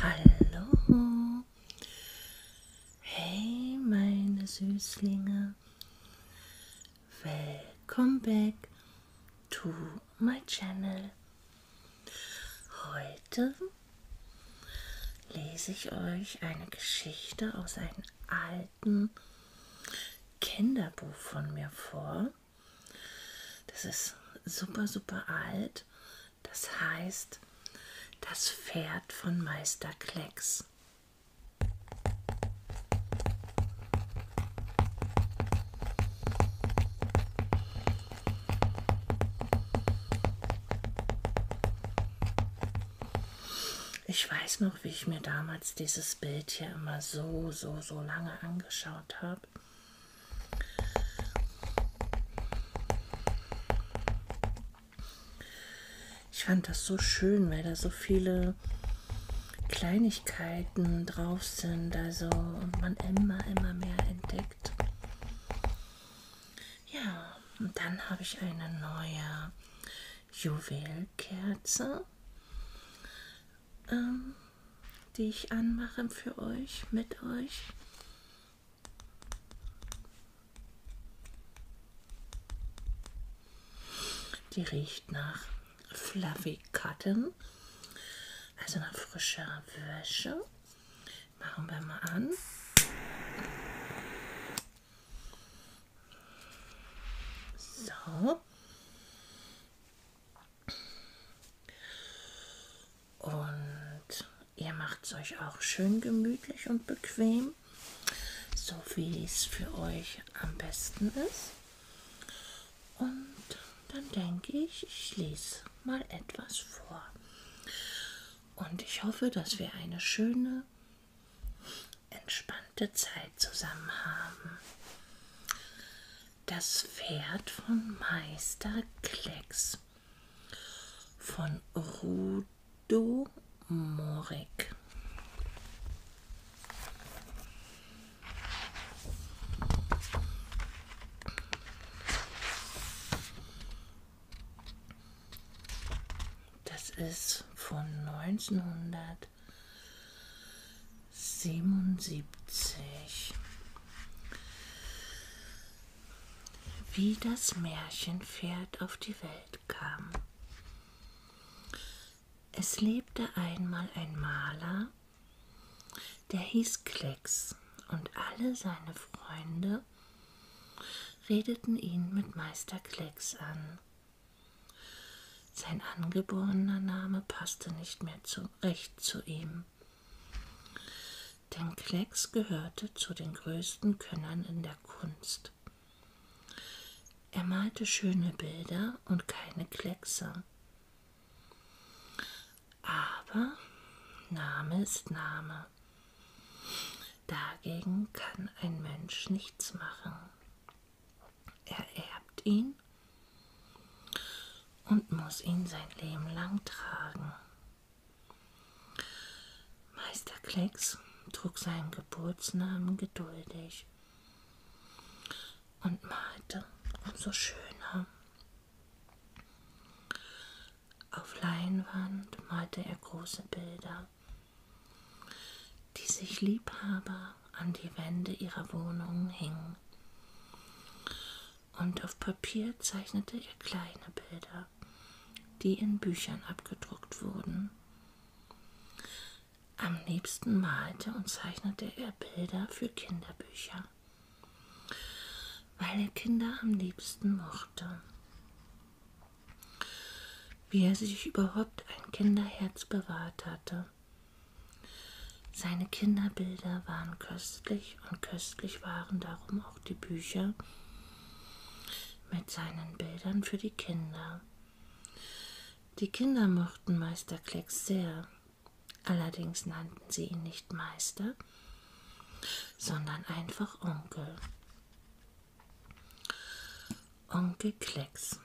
Hallo. Hey, meine Süßlinge. Welcome back to my channel. Heute lese ich euch eine Geschichte aus einem alten Kinderbuch von mir vor. Das ist super, super alt. Das heißt Das Pferd von Meister Klecks. Ich weiß noch, noch, wie ich mir damals dieses Bild hier immer so, so, so lange angeschaut habe. Ich fand das so schön, weil da so viele Kleinigkeiten drauf sind, also und man immer, immer mehr entdeckt. Ja, und dann habe ich eine neue Juwelkerze ähm, die ich anmache für euch, mit euch. Die riecht nach Fluffy Cotton, also nach frischer Wäsche. Machen wir mal an. So. Und ihr macht es euch auch schön gemütlich und bequem, so wie es für euch am besten ist. Und dann denke ich, ich lese mal etwas vor. Und ich hoffe, dass wir eine schöne entspannte Zeit zusammen haben. Das Pferd von Meister Klecks von Rudo Morik. Das ist von 1900. 77. Wie das Märchenpferd auf die Welt kam. Es lebte einmal ein Maler, der hieß Klecks, und alle seine Freunde redeten ihn mit Meister Klecks an. Sein angeborener Name passte nicht mehr zu, recht zu ihm, denn Klecks gehörte zu den größten Könnern in der Kunst. Er malte schöne Bilder und keine Kleckse. Aber Name ist Name. Dagegen kann ein Mensch nichts machen. Er erbt ihn und muss ihn sein Leben lang tragen. Meister Klecks trug seinen Geburtsnamen geduldig und malte umso schöner. Auf Leinwand malte er große Bilder, die sich Liebhaber an die Wände ihrer Wohnungen hingen. Und auf Papier zeichnete er kleine Bilder, die in Büchern abgedruckt wurden. Am liebsten malte und zeichnete er Bilder für Kinderbücher, weil er Kinder am liebsten mochte. Wie er sich überhaupt ein Kinderherz bewahrt hatte, seine Kinderbilder waren köstlich und köstlich waren darum auch die Bücher mit seinen Bildern für die Kinder. Die Kinder mochten Meister Klecks sehr, allerdings nannten sie ihn nicht Meister, sondern einfach Onkel. Onkel Klecks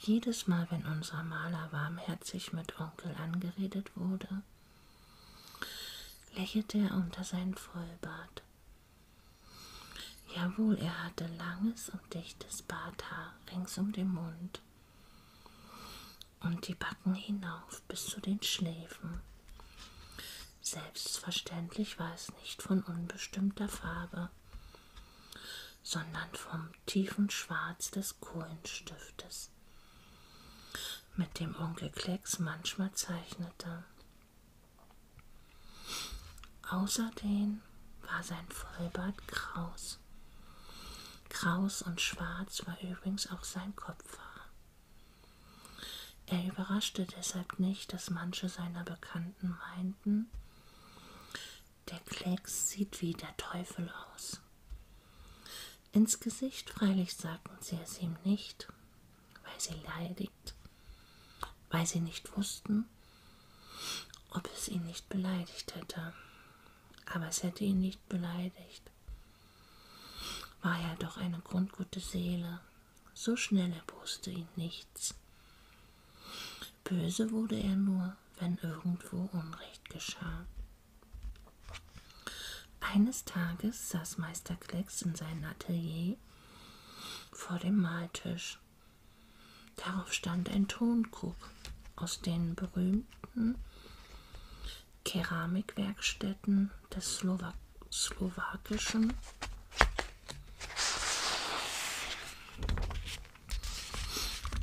jedes Mal, wenn unser Maler warmherzig mit Onkel angeredet wurde, lächelte er unter seinen Vollbart. Jawohl, er hatte langes und dichtes Barthaar rings um den Mund und die Backen hinauf bis zu den Schläfen. Selbstverständlich war es nicht von unbestimmter Farbe, sondern vom tiefen Schwarz des Kohlenstiftes, mit dem Onkel Klecks manchmal zeichnete. Außerdem war sein Vollbart kraus. Kraus und schwarz war übrigens auch sein Kopfhaar. Er überraschte deshalb nicht, dass manche seiner Bekannten meinten, der Klecks sieht wie der Teufel aus. Ins Gesicht freilich sagten sie es ihm nicht, weil sie leidigt, weil sie nicht wussten, ob es ihn nicht beleidigt hätte. Aber es hätte ihn nicht beleidigt. War er doch eine grundgute Seele, so schnell erboste ihn nichts. Böse wurde er nur, wenn irgendwo Unrecht geschah. Eines Tages saß Meister Klecks in seinem Atelier vor dem Maltisch. Darauf stand ein Tonkrug, aus den berühmten Keramikwerkstätten des Slowak slowakischen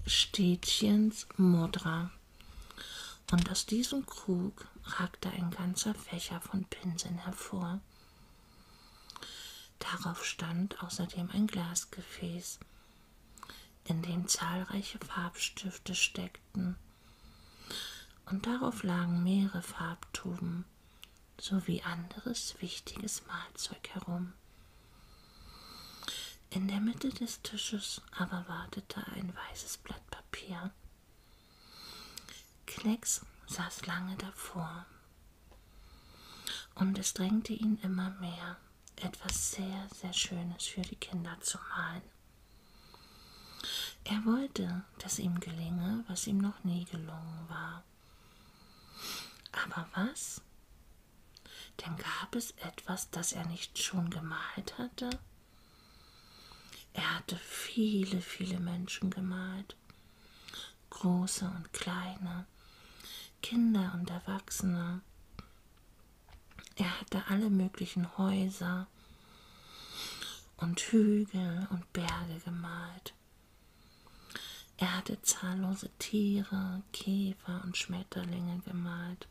Städtchens Mudra. Und aus diesem Krug ragte ein ganzer Fächer von Pinseln hervor. Darauf stand außerdem ein Glasgefäß, in dem zahlreiche Farbstifte steckten. Und darauf lagen mehrere Farbtuben sowie anderes wichtiges Malzeug herum. In der Mitte des Tisches aber wartete ein weißes Blatt Papier. Klecks saß lange davor und es drängte ihn immer mehr, etwas sehr, sehr Schönes für die Kinder zu malen. Er wollte, dass ihm gelinge, was ihm noch nie gelungen war. Aber was? Denn gab es etwas, das er nicht schon gemalt hatte? Er hatte viele, viele Menschen gemalt. Große und kleine, Kinder und Erwachsene. Er hatte alle möglichen Häuser und Hügel und Berge gemalt. Er hatte zahllose Tiere, Käfer und Schmetterlinge gemalt.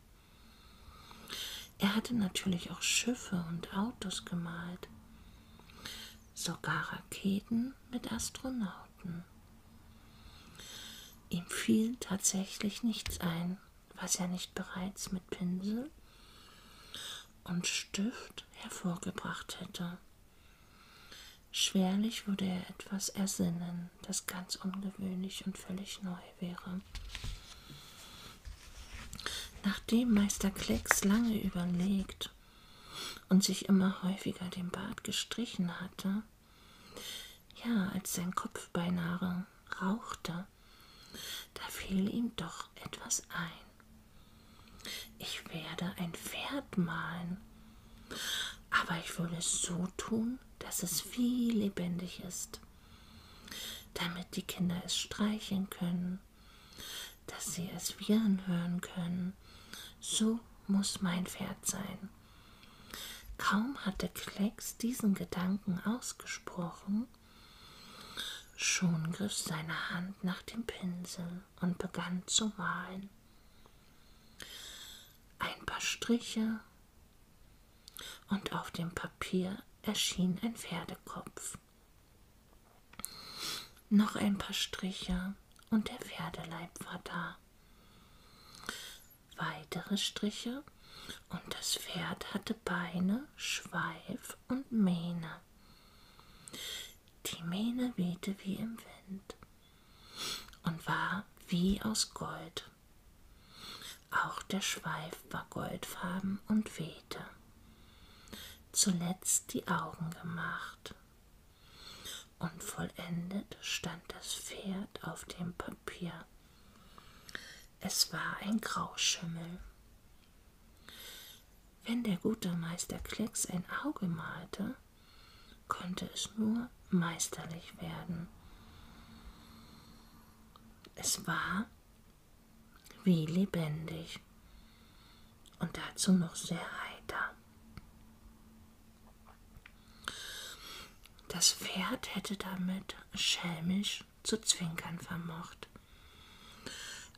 Er hatte natürlich auch Schiffe und Autos gemalt, sogar Raketen mit Astronauten. Ihm fiel tatsächlich nichts ein, was er nicht bereits mit Pinsel und Stift hervorgebracht hätte. Schwerlich würde er etwas ersinnen, das ganz ungewöhnlich und völlig neu wäre. Nachdem Meister Klecks lange überlegt und sich immer häufiger den Bart gestrichen hatte, ja, als sein Kopf beinahe rauchte, da fiel ihm doch etwas ein. Ich werde ein Pferd malen, aber ich würde es so tun, dass es viel lebendig ist, damit die Kinder es streicheln können, dass sie es wirren hören können. So muss mein Pferd sein. Kaum hatte Klecks diesen Gedanken ausgesprochen, schon griff seine Hand nach dem Pinsel und begann zu malen. Ein paar Striche, und auf dem Papier erschien ein Pferdekopf. Noch ein paar Striche und der Pferdeleib war da. Weitere Striche und das Pferd hatte Beine, Schweif und Mähne. Die Mähne wehte wie im Wind und war wie aus Gold. Auch der Schweif war goldfarben und wehte. Zuletzt die Augen gemacht. Und vollendet stand das Pferd auf dem Papier. Es war ein Grauschimmel. Wenn der gute Meister Klecks ein Auge malte, konnte es nur meisterlich werden. Es war wie lebendig und dazu noch sehr heiter. Das Pferd hätte damit schelmisch zu zwinkern vermocht.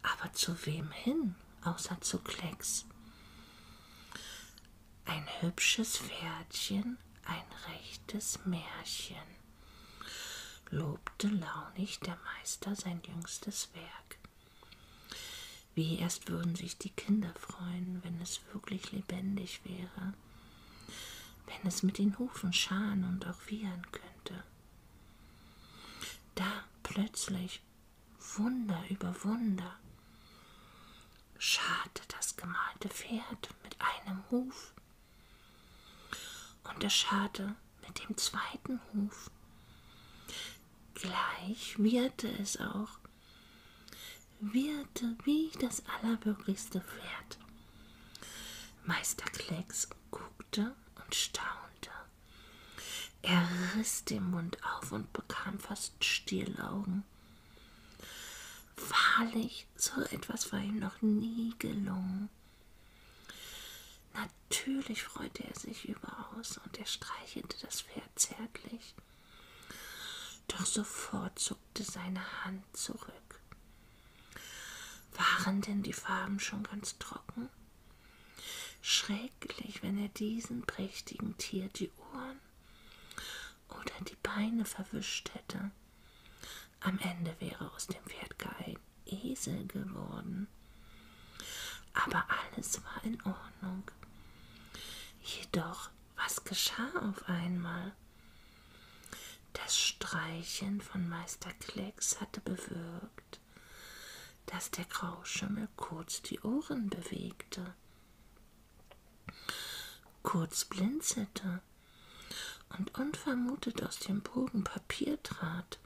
Aber zu wem hin, außer zu Klecks? ein hübsches Pferdchen, ein rechtes Märchen, lobte launig der Meister sein jüngstes Werk. Wie erst würden sich die Kinder freuen, wenn es wirklich lebendig wäre, wenn es mit den Hufen scharen und auch wiehern könnte. Da plötzlich Wunder über Wunder scharte das gemalte Pferd mit einem Huf und es scharte mit dem zweiten Huf. Gleich wirrte es auch, wirrte wie das allerwirklichste Pferd. Meister Klecks guckte und staunte. Er riss den Mund auf und bekam fast Stierlaugen sagen. Wahrlich, so etwas war ihm noch nie gelungen. Natürlich freute er sich überaus und er streichelte das Pferd zärtlich. Doch sofort zuckte seine Hand zurück. Waren denn die Farben schon ganz trocken? Schrecklich, wenn er diesem prächtigen Tier die Ohren Schultern oder die Beine verwischt hätte. Am Ende wäre aus dem Pferd gar ein Esel geworden. Aber alles war in Ordnung. Jedoch, was geschah auf einmal? Das Streichen von Meister Klecks hatte bewirkt, dass der Grauschimmel kurz die Ohren bewegte. Kurz blinzelte und unvermutet aus dem Bogen Papier trat.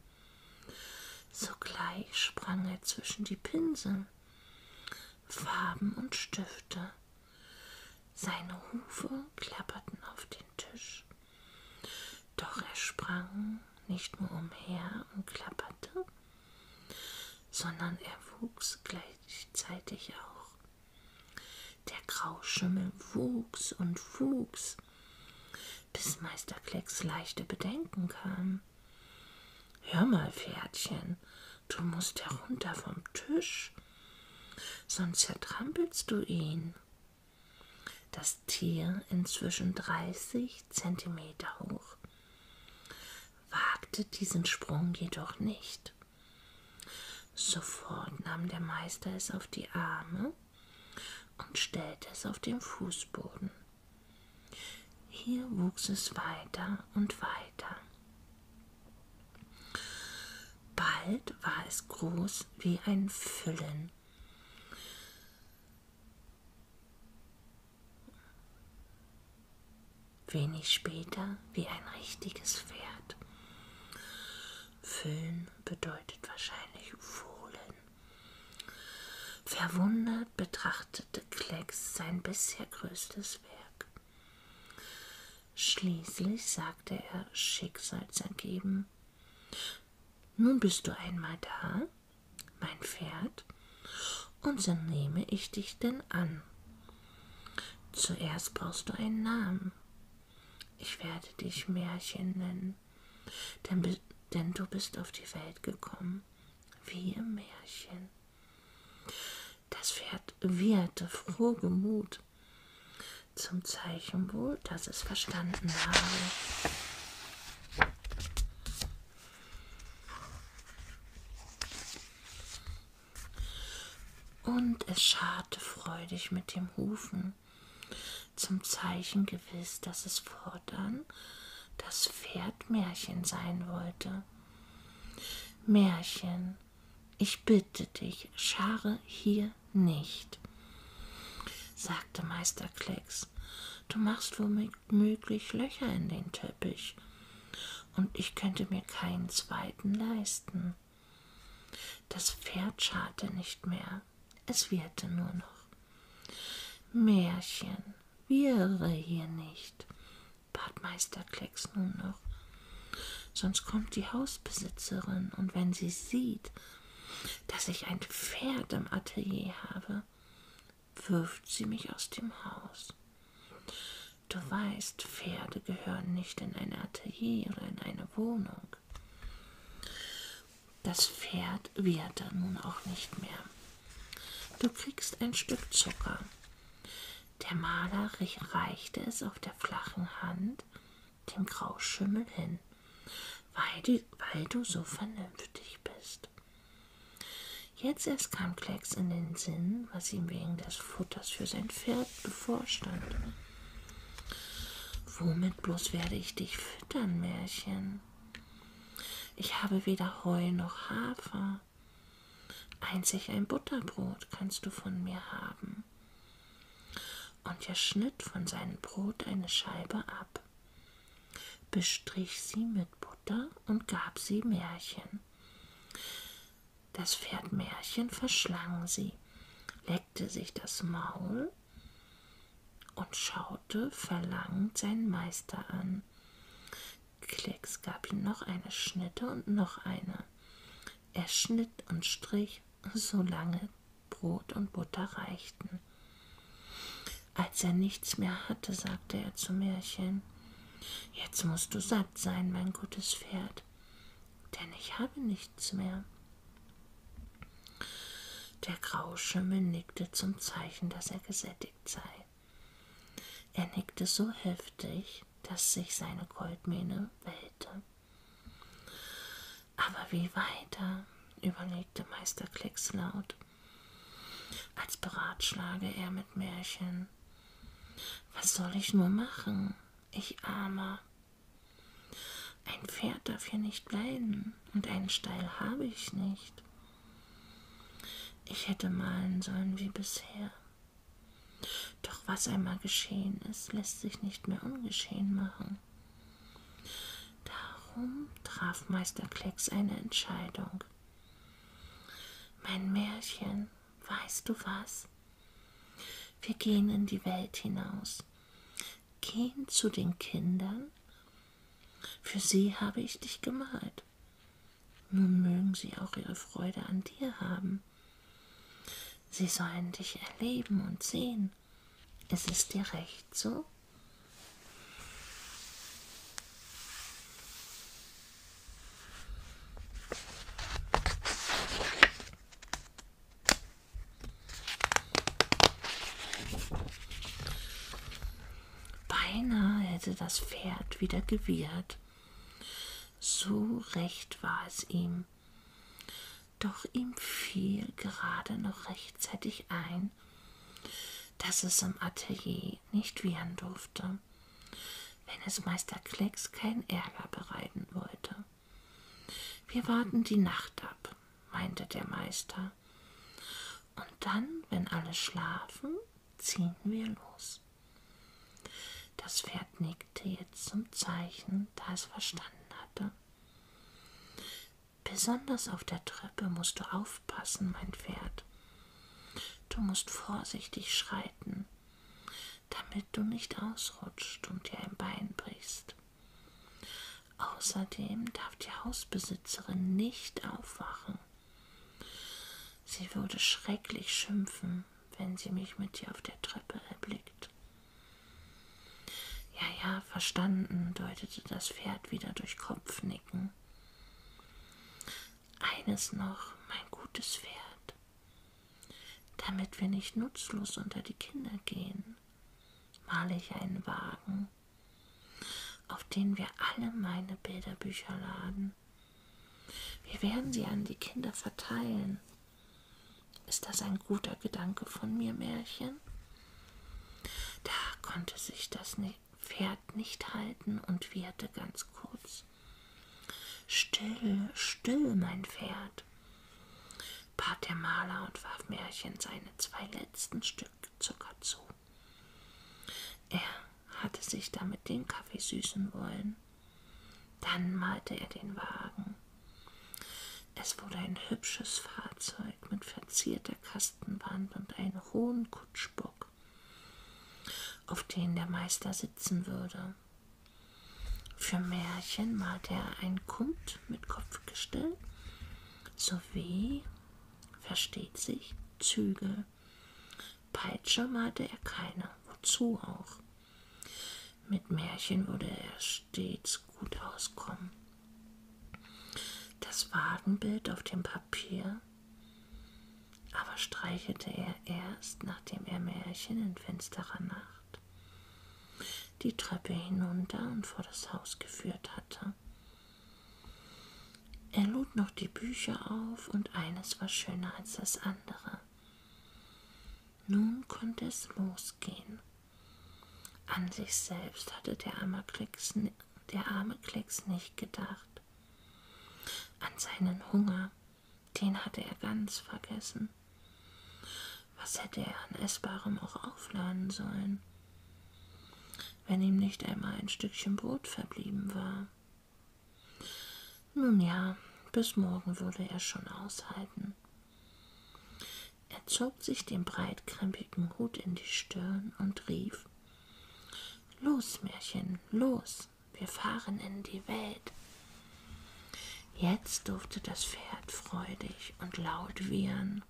Sogleich sprang er zwischen die Pinsel, Farben und Stifte. Seine Hufe klapperten auf den Tisch. Doch er sprang nicht nur umher und klapperte, sondern er wuchs gleichzeitig auch. Der Grauschummel wuchs und wuchs, bis Meister Klecks leichte Bedenken kamen. Hör mal, Pferdchen, du musst herunter vom Tisch, sonst zertrampelst du ihn. Das Tier, inzwischen 30 Zentimeter hoch, wagte diesen Sprung jedoch nicht. Sofort nahm der Meister es auf die Arme und stellte es auf den Fußboden. Hier wuchs es weiter und weiter. Bald war es groß wie ein Füllen wenig später wie ein richtiges Pferd. Füllen bedeutet wahrscheinlich fohlen. Verwundert betrachtete Klecks sein bisher größtes Werk. Schließlich sagte er schicksalsergeben, nun bist du einmal da, mein Pferd, und so nehme ich dich denn an. Zuerst brauchst du einen Namen. Ich werde dich Märchen nennen, denn, denn du bist auf die Welt gekommen, wie im Märchen. Das Pferd wieherte frohgemut zum Zeichen wohl, dass es verstanden habe. Und es scharte freudig mit dem Hufen, zum Zeichen gewiss, dass es fortan das Pferd Märchen sein wollte. Märchen, ich bitte dich, schare hier nicht, sagte Meister Klecks. Du machst womöglich Löcher in den Teppich, und ich könnte mir keinen zweiten leisten. Das Pferd scharte nicht mehr, es wirrte nur noch. Märchen, wirre hier nicht, bat Meister Klecks nun noch. Sonst kommt die Hausbesitzerin, und wenn sie sieht, dass ich ein Pferd im Atelier habe, wirft sie mich aus dem Haus. Du weißt, Pferde gehören nicht in ein Atelier oder in eine Wohnung. Das Pferd wird dann nun auch nicht mehr. Du kriegst ein Stück Zucker. Der Maler reichte es auf der flachen Hand dem Grauschimmel hin, weil, die, weil du so vernünftig bist. Jetzt erst kam Klecks in den Sinn, Mann, was ihm wegen des Futters für sein Pferd bevorstand. Womit bloß werde ich dich füttern, Märchen? Ich habe weder Heu noch Hafer. Einzig ein Butterbrot kannst du von mir haben. Und er schnitt von seinem Brot eine Scheibe ab, bestrich sie mit Butter und gab sie Märchen. Das Pferd Märchen verschlang sie, leckte sich das Maul und schaute verlangend seinen Meister an. Klecks gab ihm noch eine Schnitte und noch eine. Er schnitt und strich, solange Brot und Butter reichten. Als er nichts mehr hatte, sagte er zu Märchen, Jetzt musst du satt sein, mein gutes Pferd denn ich habe nichts mehr. Der graue Schimmel nickte zum Zeichen, dass er gesättigt sei. Er nickte so heftig, dass sich seine Goldmähne wellte. Aber wie weiter? überlegte Meister Klecks laut. Als beratschlage er mit Märchen. Was soll ich nur machen? ich armer. Ein Pferd darf hier nicht bleiben und einen Stall habe ich nicht. Ich hätte malen sollen wie bisher. Doch was einmal geschehen ist, lässt sich nicht mehr ungeschehen machen. Darum traf Meister Klecks eine Entscheidung. Mein Märchen, weißt du was? Wir gehen in die Welt hinaus, gehen zu den Kindern. Für sie habe ich dich gemalt. Nun mögen sie auch ihre Freude an dir haben. Sie sollen dich erleben und sehen. Ist es dir recht so? Beinahe hätte das Pferd wieder gewirrt. So recht war es ihm. Doch ihm fiel gerade noch rechtzeitig ein, dass es im Atelier nicht wiehern durfte, wenn es Meister Klecks keinen Ärger bereiten wollte. Wir warten die Nacht ab, meinte der Meister. Und dann, wenn alle schlafen, ziehen wir los. Das Pferd nickte jetzt zum Zeichen, da es verstanden hatte. Besonders auf der Treppe musst du aufpassen, mein Pferd. Du musst vorsichtig schreiten damit du nicht ausrutscht und dir ein Bein brichst. Außerdem darf die Hausbesitzerin nicht aufwachen. Sie würde schrecklich schimpfen, wenn sie mich mit dir auf der Treppe erblickt. Ja, ja, verstanden, deutete das Pferd wieder durch Kopfnicken. Eines noch, mein gutes Pferd, damit wir nicht nutzlos unter die Kinder gehen, male ich einen Wagen, auf den wir alle meine Bilderbücher laden. Wir werden sie an die Kinder verteilen. Ist das ein guter Gedanke von mir, Märchen? Da konnte sich das Pferd nicht halten und wieherte ganz kurz. Still, still, mein Pferd. Wort, bat der Maler und warf Märchen seine zwei letzten Stück Zucker zu. Er hatte sich damit den Kaffee süßen wollen. Dann malte er den Wagen. Es wurde ein hübsches Fahrzeug mit verzierter Kastenwand und einem hohen Kutschbock, auf den der Meister sitzen würde. Für Märchen malte er ein Kund mit Kopfgestell sowie, versteht sich, Zügel. Peitsche malte er keine, wozu auch. Mit Märchen würde er stets gut auskommen. Das Wagenbild auf dem Papier aber streichelte er erst, nachdem er Märchen in finsterer Nacht die Treppe hinunter und vor das Haus geführt hatte. Er lud noch die Bücher auf, und eines war schöner als das andere. Nun konnte es losgehen. An sich selbst hatte der arme Klecks, der arme Klecks nicht gedacht, an seinen Hunger, den hatte er ganz vergessen. Was hätte er an Essbarem auch aufladen sollen, wenn ihm nicht einmal ein Stückchen Brot verblieben war? Nun ja, bis morgen würde er schon aushalten. Er zog sich den breitkrempigen Hut in die Stirn und rief Los, Märchen, los, wir fahren in die Welt. Jetzt durfte das Pferd freudig und laut wiehern.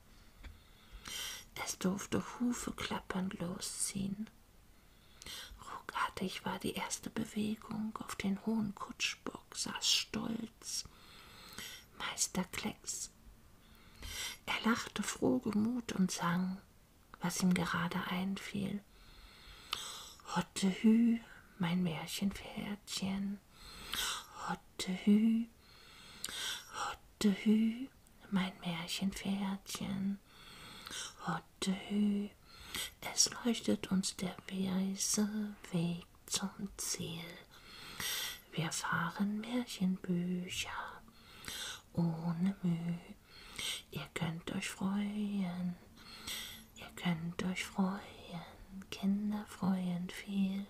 Es durfte Hufe klappernd losziehen. Ruckartig war die erste Bewegung. Auf den hohen Kutschbock saß stolz Meister Klecks. Er lachte frohgemut und sang, was ihm gerade einfiel. Hotte Hü, mein Märchenpferdchen, Hotte hü, hotte hü, mein Märchenpferdchen. Hotte hü, es leuchtet uns der weiße Weg zum Ziel. Wir fahren Märchenbücher ohne Mühe. Ihr könnt euch freuen, Ihr könnt euch freuen, Kinder freuen viel.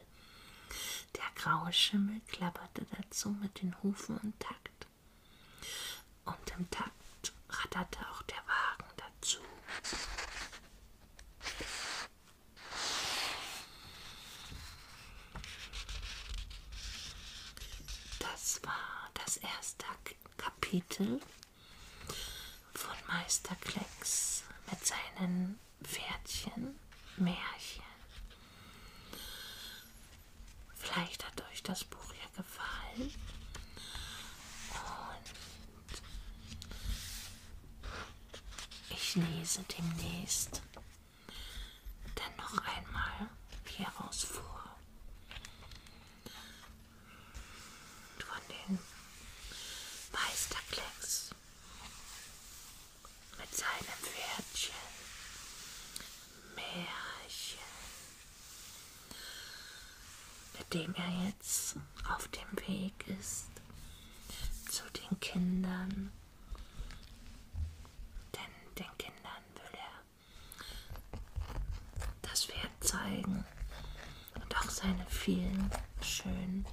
Der graue Schimmel klapperte dazu mit den Hufen und Takt. Und im Takt ratterte auch der Wagen dazu. Das war das erste Kapitel von Meister Klecks mit seinen Pferdchen, Märchen. Vielleicht hat euch das Buch ja gefallen. Und ich lese demnächst dann noch einmal hieraus vor von den Meisterklecks mit seinem Pferdchen Märchen, mit dem er jetzt auf dem Weg ist zu den Kindern. Denn den Kindern will er das Pferd zeigen, und auch seine vielen schönen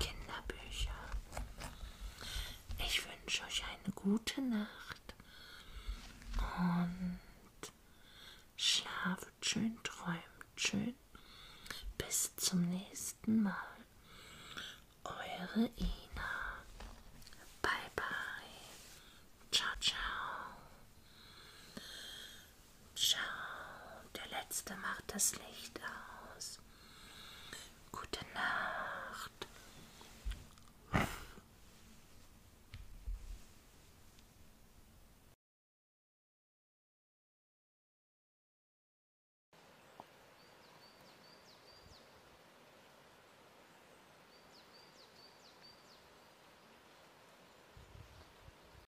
Kinderbücher. Ich wünsche euch eine gute Nacht und schlaft schön, träumt schön. Bis zum nächsten Mal. Eure Ina. Bye bye. Ciao, ciao. Schau, der letzte macht das Licht aus. Gute Nacht.